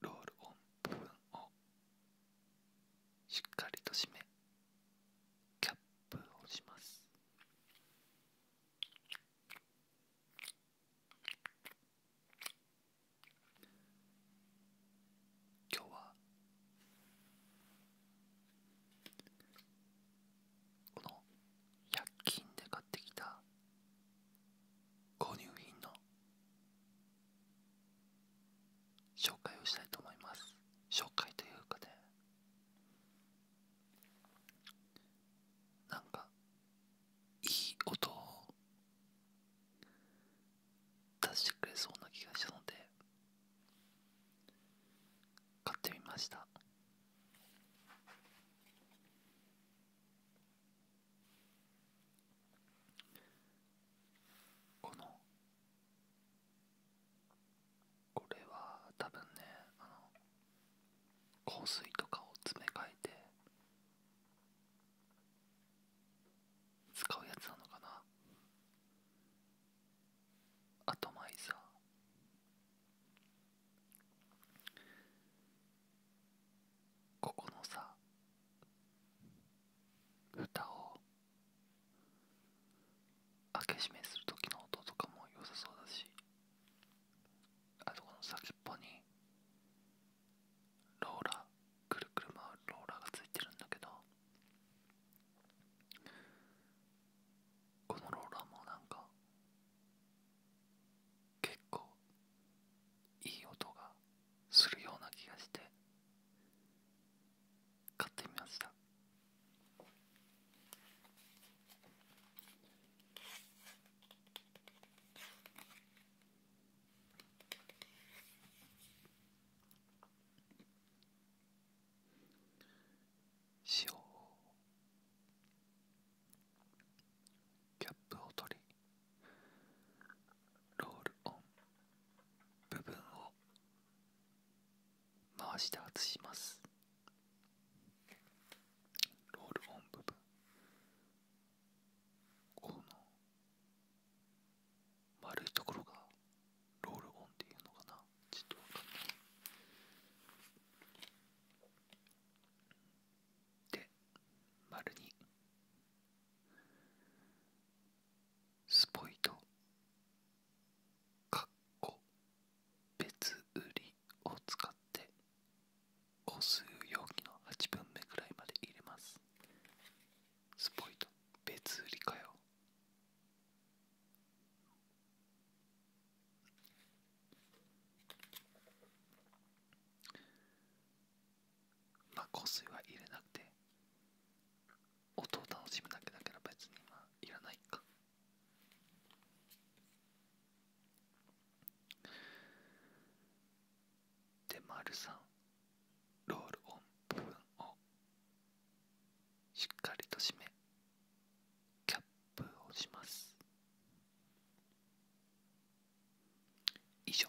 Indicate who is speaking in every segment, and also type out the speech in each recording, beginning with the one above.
Speaker 1: ロールオン部分をしっかりと締めキャップをします。今日はこの100均で買ってきた購入品の紹介をしたいと思います紹介というかで。なんかいい音を出してくれそうな気がしたので買ってみましたこのこれは多分ねあの香水とかを詰め替えて使うやつなのかなアトマイザーここのさ蓋を開け閉めする時の音とかも良さそうだしあとこの先っぽにローラーくるくる回るローラーがついてるんだけどこのローラーもなんか結構いい音がするような気がして買ってみました塩をキャップを取りロールオン部分を回して外します。ロールオン部分この丸いところがロールオンっていうのかなちょっとわかんないで丸にスポイトかっこ別売りを使って個数容器の8分目くらいまで入れますスポイト別売りかよまあ個数は入れなくて音を楽しむだけなら別にまあいらないかでまるさん。ロールオン部分をしっかりと締めキャップをします以上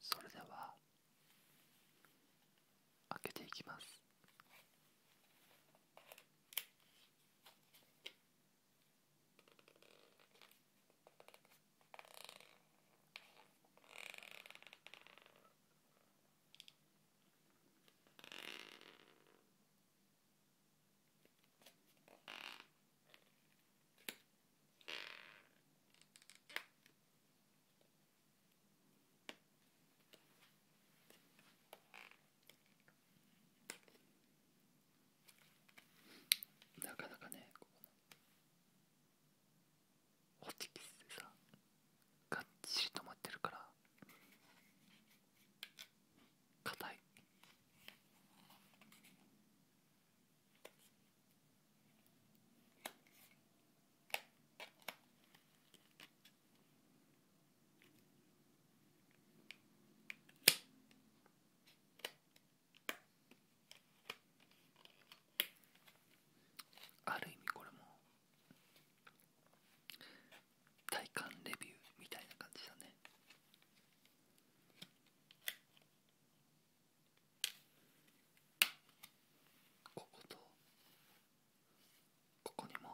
Speaker 1: それでは開けていきますなかなかねホチキスでさがっちり止まってるから硬いある意味これも体感レビューみたいな感じだねこことここにも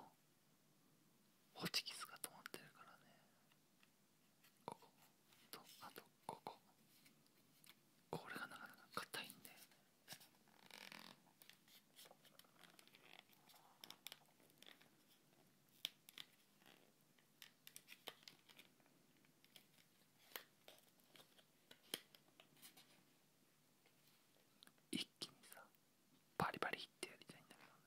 Speaker 1: ホチキスが止まってるからねこことあとこここれがなかなか硬いんだよね一気にさバリバリってやりたいんだけどね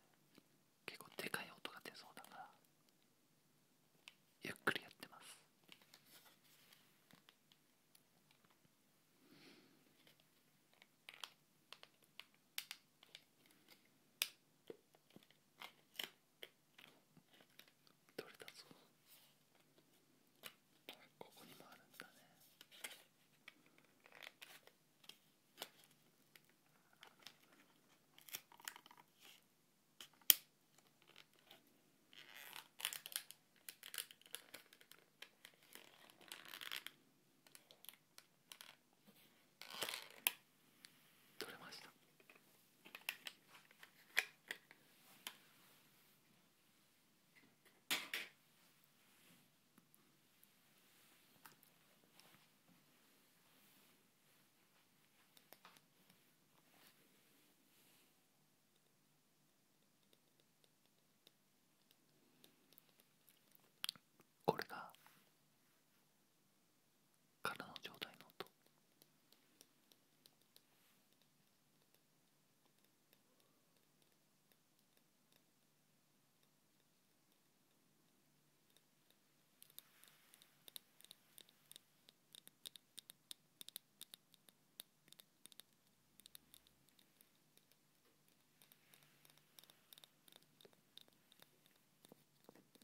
Speaker 1: 結構でかい音が出そうだからゆっくりやってます取れたぞここにもあるんだね取れましたこれがからの状態の音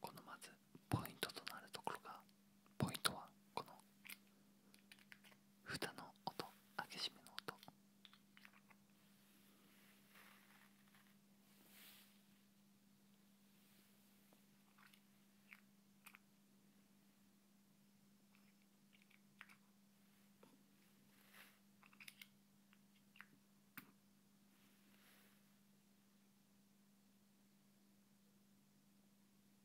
Speaker 1: このまずポイントとなるところがポイントはこの蓋の音開け閉めの音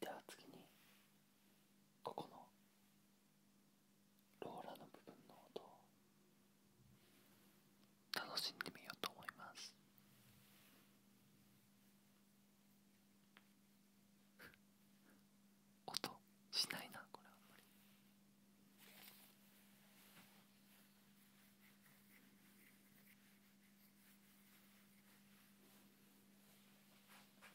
Speaker 1: では次にここのローラの部分の音を楽しんでみようと思います。音しないなこれあんまり。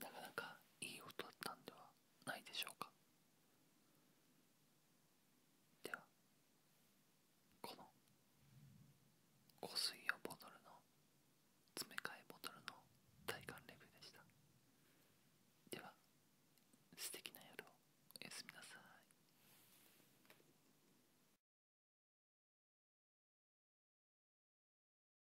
Speaker 1: なかなかいい音だったんではないでしょうかではこの香水用ボトルの詰め替えボトルの体感レビューでしたで
Speaker 2: は素敵な夜をおやすみなさい